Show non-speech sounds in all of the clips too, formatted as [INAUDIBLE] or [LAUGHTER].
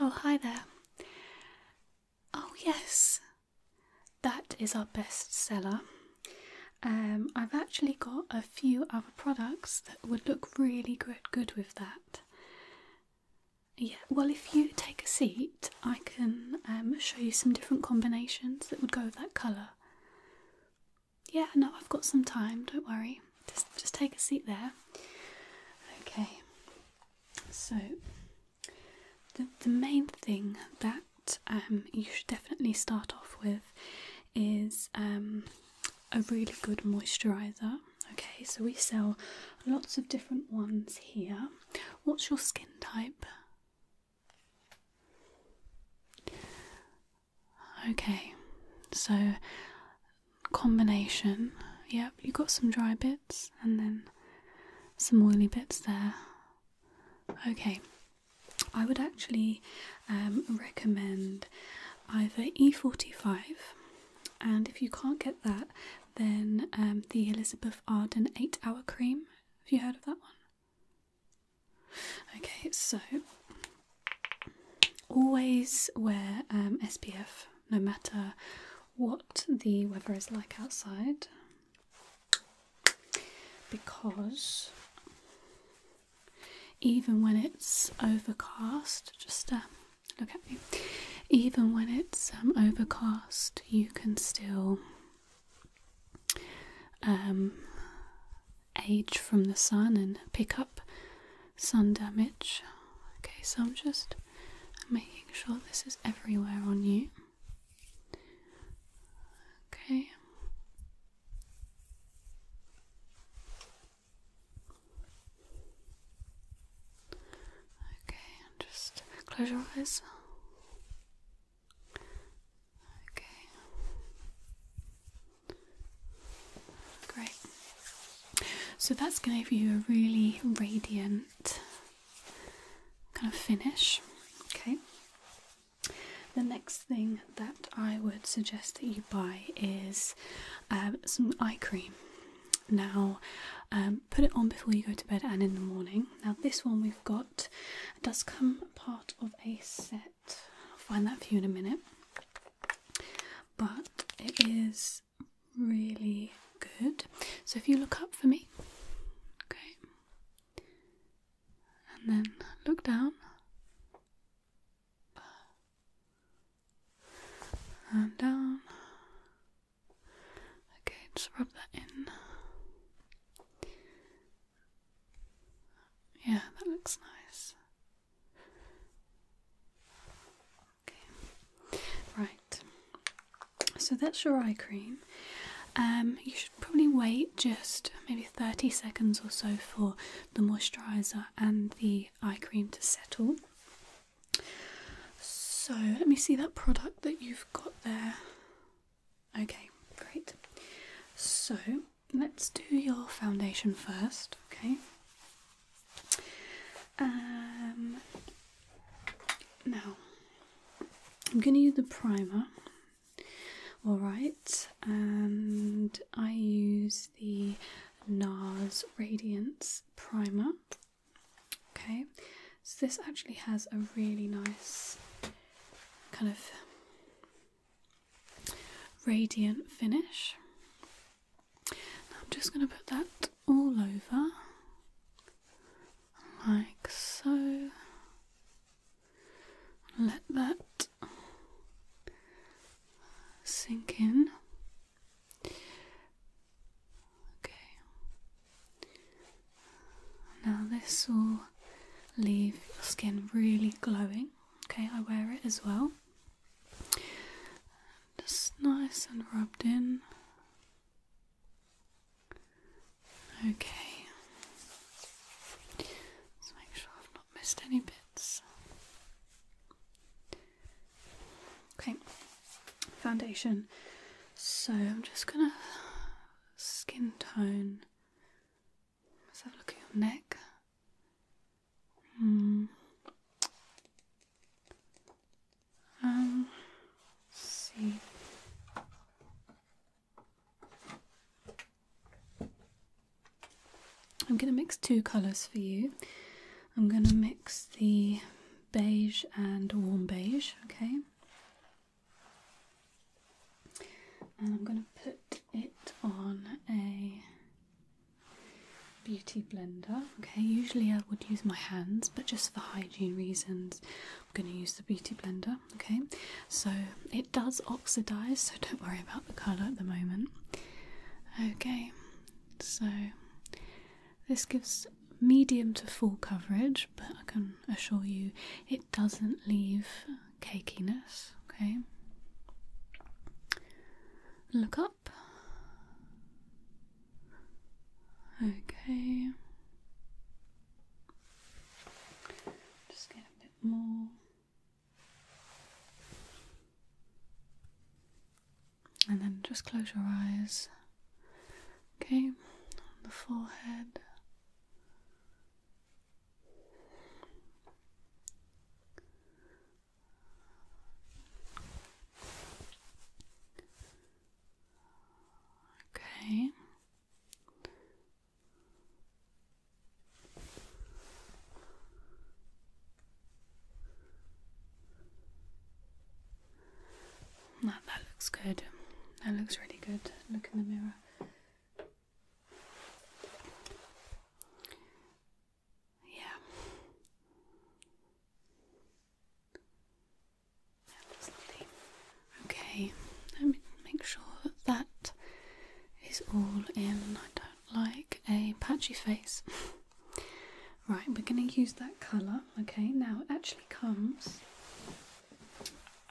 Oh, hi there. Oh, yes, that is our bestseller. Um, I've actually got a few other products that would look really good, with that. Yeah, well, if you take a seat, I can um, show you some different combinations that would go with that colour yeah, no, I've got some time. Don't worry. Just, just take a seat there. Okay. So, the the main thing that um you should definitely start off with is um a really good moisturizer. Okay, so we sell lots of different ones here. What's your skin type? Okay, so combination. Yep, you got some dry bits and then some oily bits there. Okay, I would actually um, recommend either E45, and if you can't get that, then um, the Elizabeth Arden 8 Hour Cream. Have you heard of that one? Okay, so always wear um, SPF no matter what the weather is like outside because even when it's overcast, just uh, look at me, even when it's um, overcast, you can still um, age from the sun and pick up sun damage. Okay, so I'm just making sure this is everywhere on you. Okay. Okay, and just close your eyes. Okay. Great. So that's going to give you a really radiant kind of finish. Okay. The next thing that I would suggest that you buy is um, some eye cream. Now, um, put it on before you go to bed and in the morning. Now, this one we've got it does come part of a set. I'll find that for you in a minute. But it is really good. So if you look up for me, okay, and then look down. And down. Okay, just rub that in. Yeah, that looks nice. Okay, right. So that's your eye cream. Um, you should probably wait just maybe 30 seconds or so for the moisturiser and the eye cream to settle. So let me see that product that you've got there. Okay, great. So let's do your foundation first, okay? Um, now I'm going to use the primer, alright, and I use the NARS Radiance Primer, okay? So this actually has a really nice kind of radiant finish. I'm just going to put that all over like so. Let that sink in. Okay. Now this will leave your skin really glowing. Okay, I wear it as well. Just nice and rubbed in. Okay. Let's make sure I've not missed any bits. Okay, foundation. So I'm just gonna skin tone. Let's have a look at your neck. Hmm. Um. see. I'm going to mix two colours for you. I'm going to mix the beige and warm beige, okay? and I'm going to put it on a beauty blender. Okay, usually I would use my hands, but just for hygiene reasons, I'm going to use the beauty blender. Okay, so it does oxidize, so don't worry about the color at the moment. Okay, so this gives medium to full coverage, but I can assure you it doesn't leave cakeiness. Okay, look up. Okay, just get a bit more. And then just close your eyes Okay, on the forehead. Okay. That, that looks good. That looks really good. Look in the mirror. Yeah. Okay, let me make sure that is all in. I don't like a patchy face. [LAUGHS] right, we're going to use that colour. Okay, now it actually comes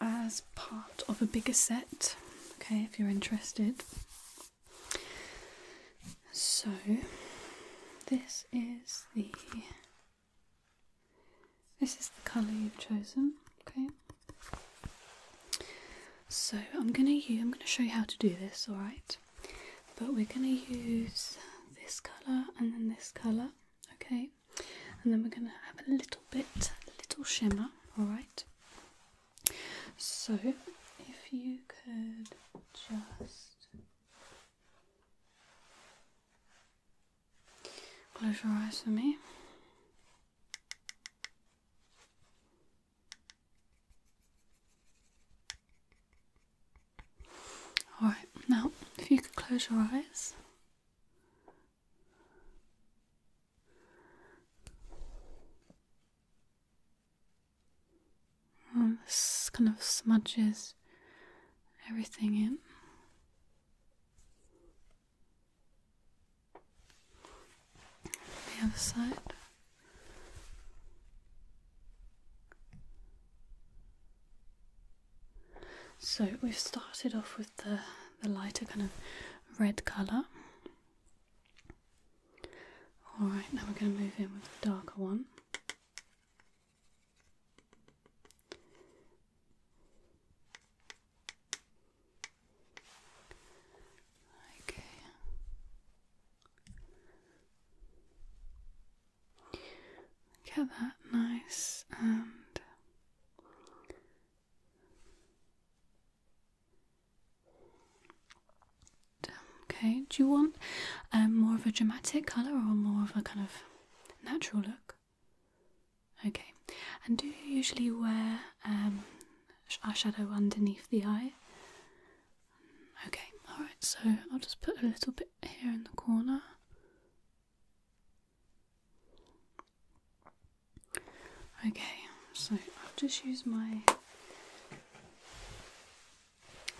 as part of a bigger set. Okay, if you're interested. So, this is the this is the colour you've chosen. Okay. So I'm gonna use, I'm gonna show you how to do this. All right, but we're gonna use this colour and then this colour okay and then we're going to have a little bit little shimmer all right so if you could just close your eyes for me Alright, now if you could close your eyes. this kind of smudges everything in. The other side. So we've started off with the, the lighter kind of red colour. Alright, now we're going to move in with the darker one. Okay. Get that nice and okay. Do you want um, more of a dramatic colour or more of a kind of natural look? Okay. And do you usually wear um, eyeshadow underneath the eye? Okay, alright, so I'll just put a little bit here in the corner. Okay, so I'll just use my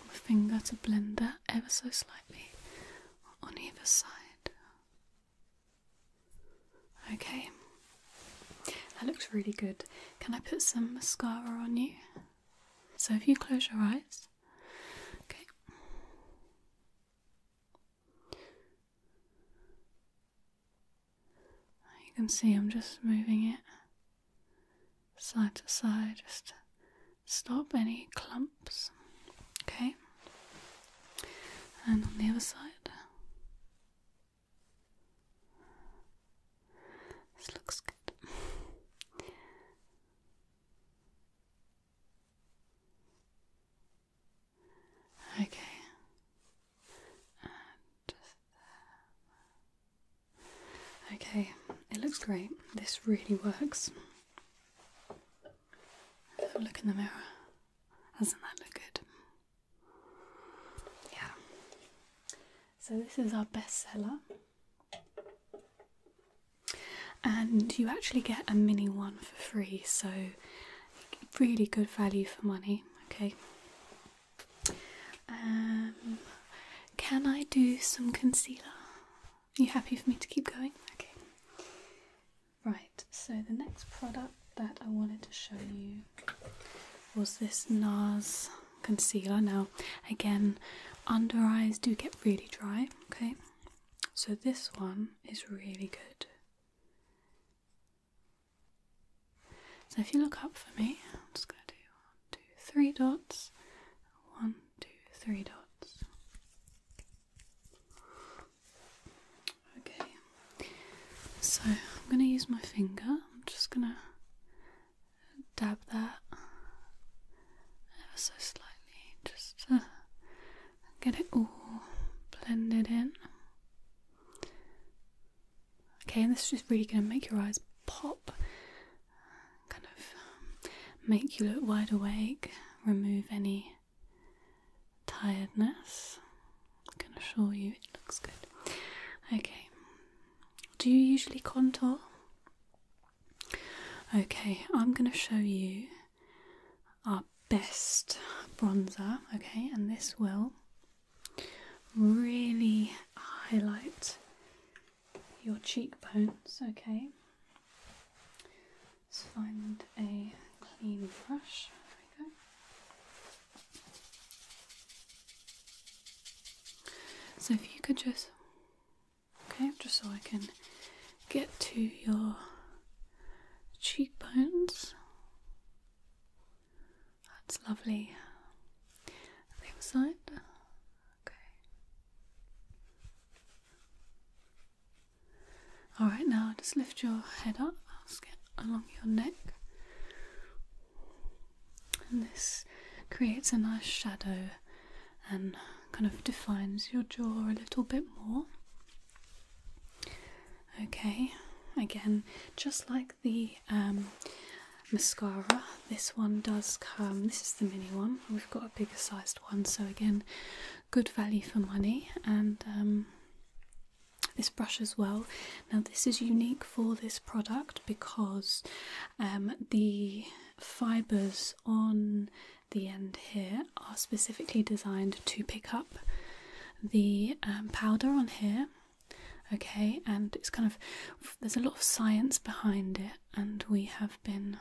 finger to blend that ever so slightly on either side. Okay, that looks really good. Can I put some mascara on you? So if you close your eyes, okay. You can see I'm just moving it side to side, just to stop any clumps, okay. And on the other side, this looks good. Okay. just there. Okay, it looks great. This really works. Have a look in the mirror. Doesn't that look good? Yeah. So this is our bestseller and you actually get a mini one for free so really good value for money okay um can i do some concealer Are you happy for me to keep going okay right so the next product that i wanted to show you was this nars concealer. Now, again, under eyes do get really dry, okay? So, this one is really good. So, if you look up for me, I'm just going to do three dots, one, two, three dots. Okay, so I'm going to use my finger. I'm just going to dab that ever so slightly just to get it all blended in. Okay, and this is just really going to make your eyes pop, kind of make you look wide awake, remove any tiredness. I can assure you it looks good. Okay, do you usually contour? Okay, I'm going to show you our best bronzer, okay, and this will really highlight your cheekbones, okay. Let's find a clean brush. There we go. So if you could just Okay, just so I can get to your cheekbones. That's lovely. the other side. Okay. Alright, now just lift your head up. I'll get along your neck. And this creates a nice shadow and kind of defines your jaw a little bit more. Okay, again, just like the um, mascara, this one does come, this is the mini one, we've got a bigger sized one, so again, good value for money. And um, this brush as well. Now, this is unique for this product because um, the fibres on the end here are specifically designed to pick up the um, powder on here. Okay, and it's kind of there's a lot of science behind it, and we have been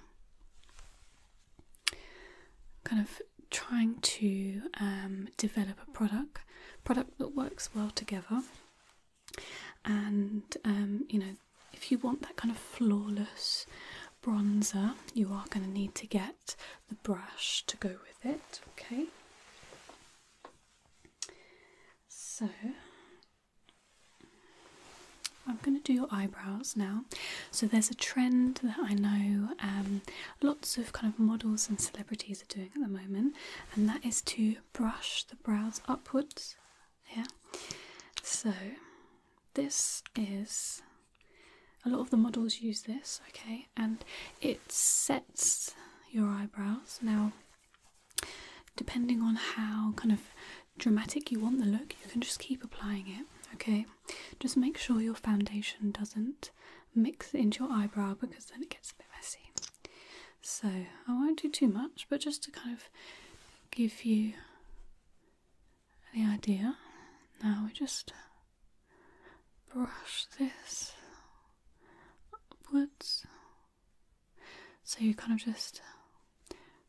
kind of trying to um, develop a product product that works well together and um, you know if you want that kind of flawless bronzer you are going to need to get the brush to go with it okay so I'm going to do your eyebrows now. So there's a trend that I know um, lots of kind of models and celebrities are doing at the moment, and that is to brush the brows upwards yeah, So this is a lot of the models use this, okay, and it sets your eyebrows. Now, depending on how kind of dramatic you want the look, you can just keep applying it, okay? Just make sure your foundation doesn't mix into your eyebrow because then it gets a bit messy. So I won't do too much, but just to kind of give you the idea. Now we just brush this upwards. So you kind of just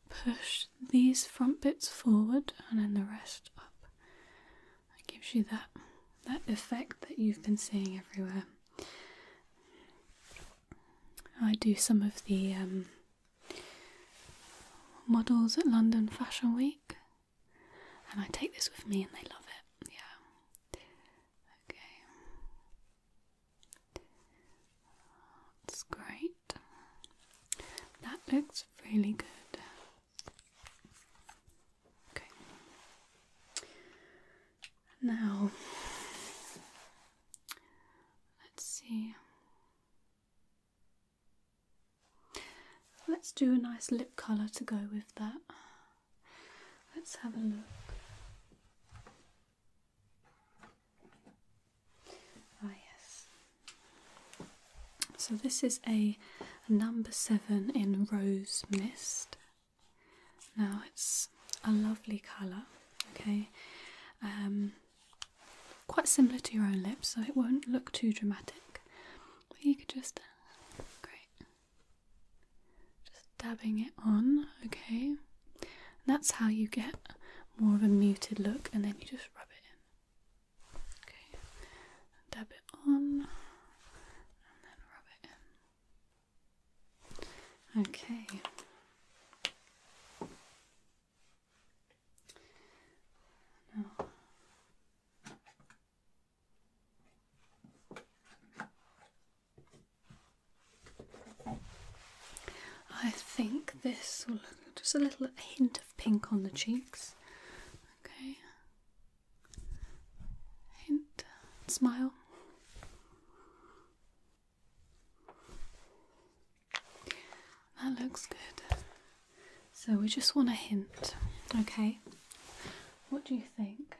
push these front bits forward and then the rest up. It gives you that that effect that you've been seeing everywhere. I do some of the um, models at London Fashion Week, and I take this with me, and they love it. Yeah. Okay. That's great. That looks really good. Okay. Now, let's see. Let's do a nice lip colour to go with that. Let's have a look. Ah, yes. So, this is a number seven in Rose Mist. Now it's a lovely colour, okay? Um, quite similar to your own lips, so it won't look too dramatic. you could just, great, just dabbing it on, okay? that's how you get more of a muted look, and then you just rub it in, okay? Dab it on, and then rub it in. Okay. I think this will just a little hint of pink on the cheeks. Okay. Hint, smile. That looks good. So we just want a hint, okay? What do you think?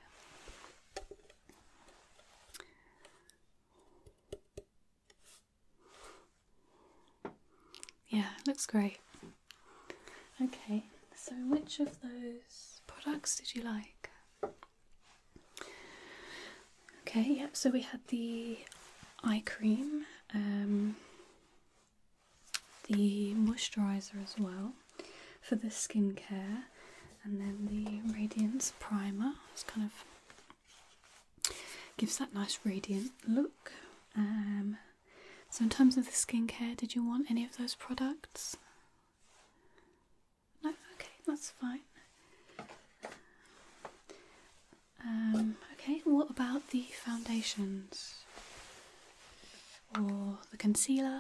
Yeah, looks great. Okay, so which of those products did you like? Okay, yep, so we had the eye cream, um, the moisturiser as well for the skincare, and then the Radiance Primer. It's kind of gives that nice radiant look. Um, so, in terms of the skincare, did you want any of those products? okay, that's fine. Um, okay, what about the foundations? Or the concealer?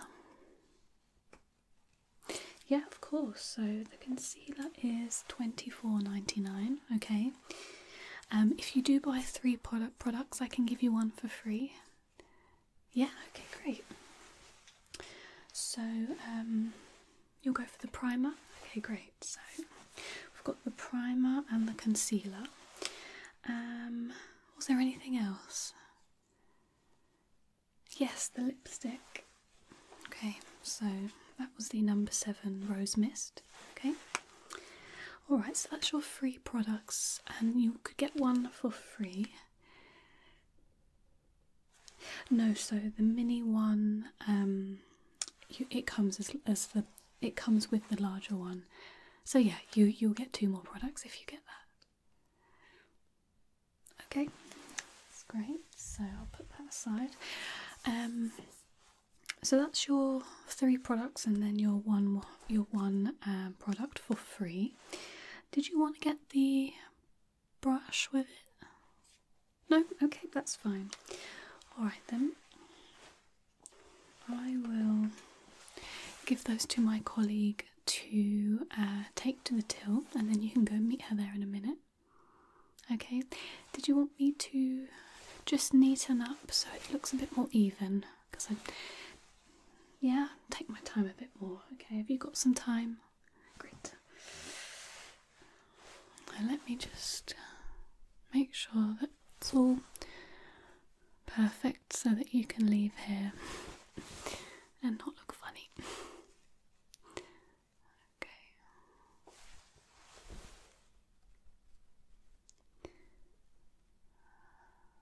Yeah, of course. So the concealer is twenty four ninety nine. okay? Um, if you do buy three product products, I can give you one for free. Yeah, okay, great. So, um, you'll go for the primer. Okay, great. So, we've got the primer and the concealer. Um, was there anything else? Yes, the lipstick. Okay, so that was the number seven rose mist. Okay. Alright, so that's your free products, and you could get one for free no, so the mini one, um, it comes as as the it comes with the larger one. So yeah, you you'll get two more products if you get that. Okay, great. So I'll put that aside. Um, so that's your three products, and then your one your one um, product for free. Did you want to get the brush with it? No? Okay, that's fine. Alright then. I will give those to my colleague to uh, take to the till and then you can go meet her there in a minute. Okay, did you want me to just neaten up so it looks a bit more even? Because I yeah, take my time a bit more. Okay, have you got some time? Great. let me just make sure that it's all perfect so that you can leave here and not look funny. Okay.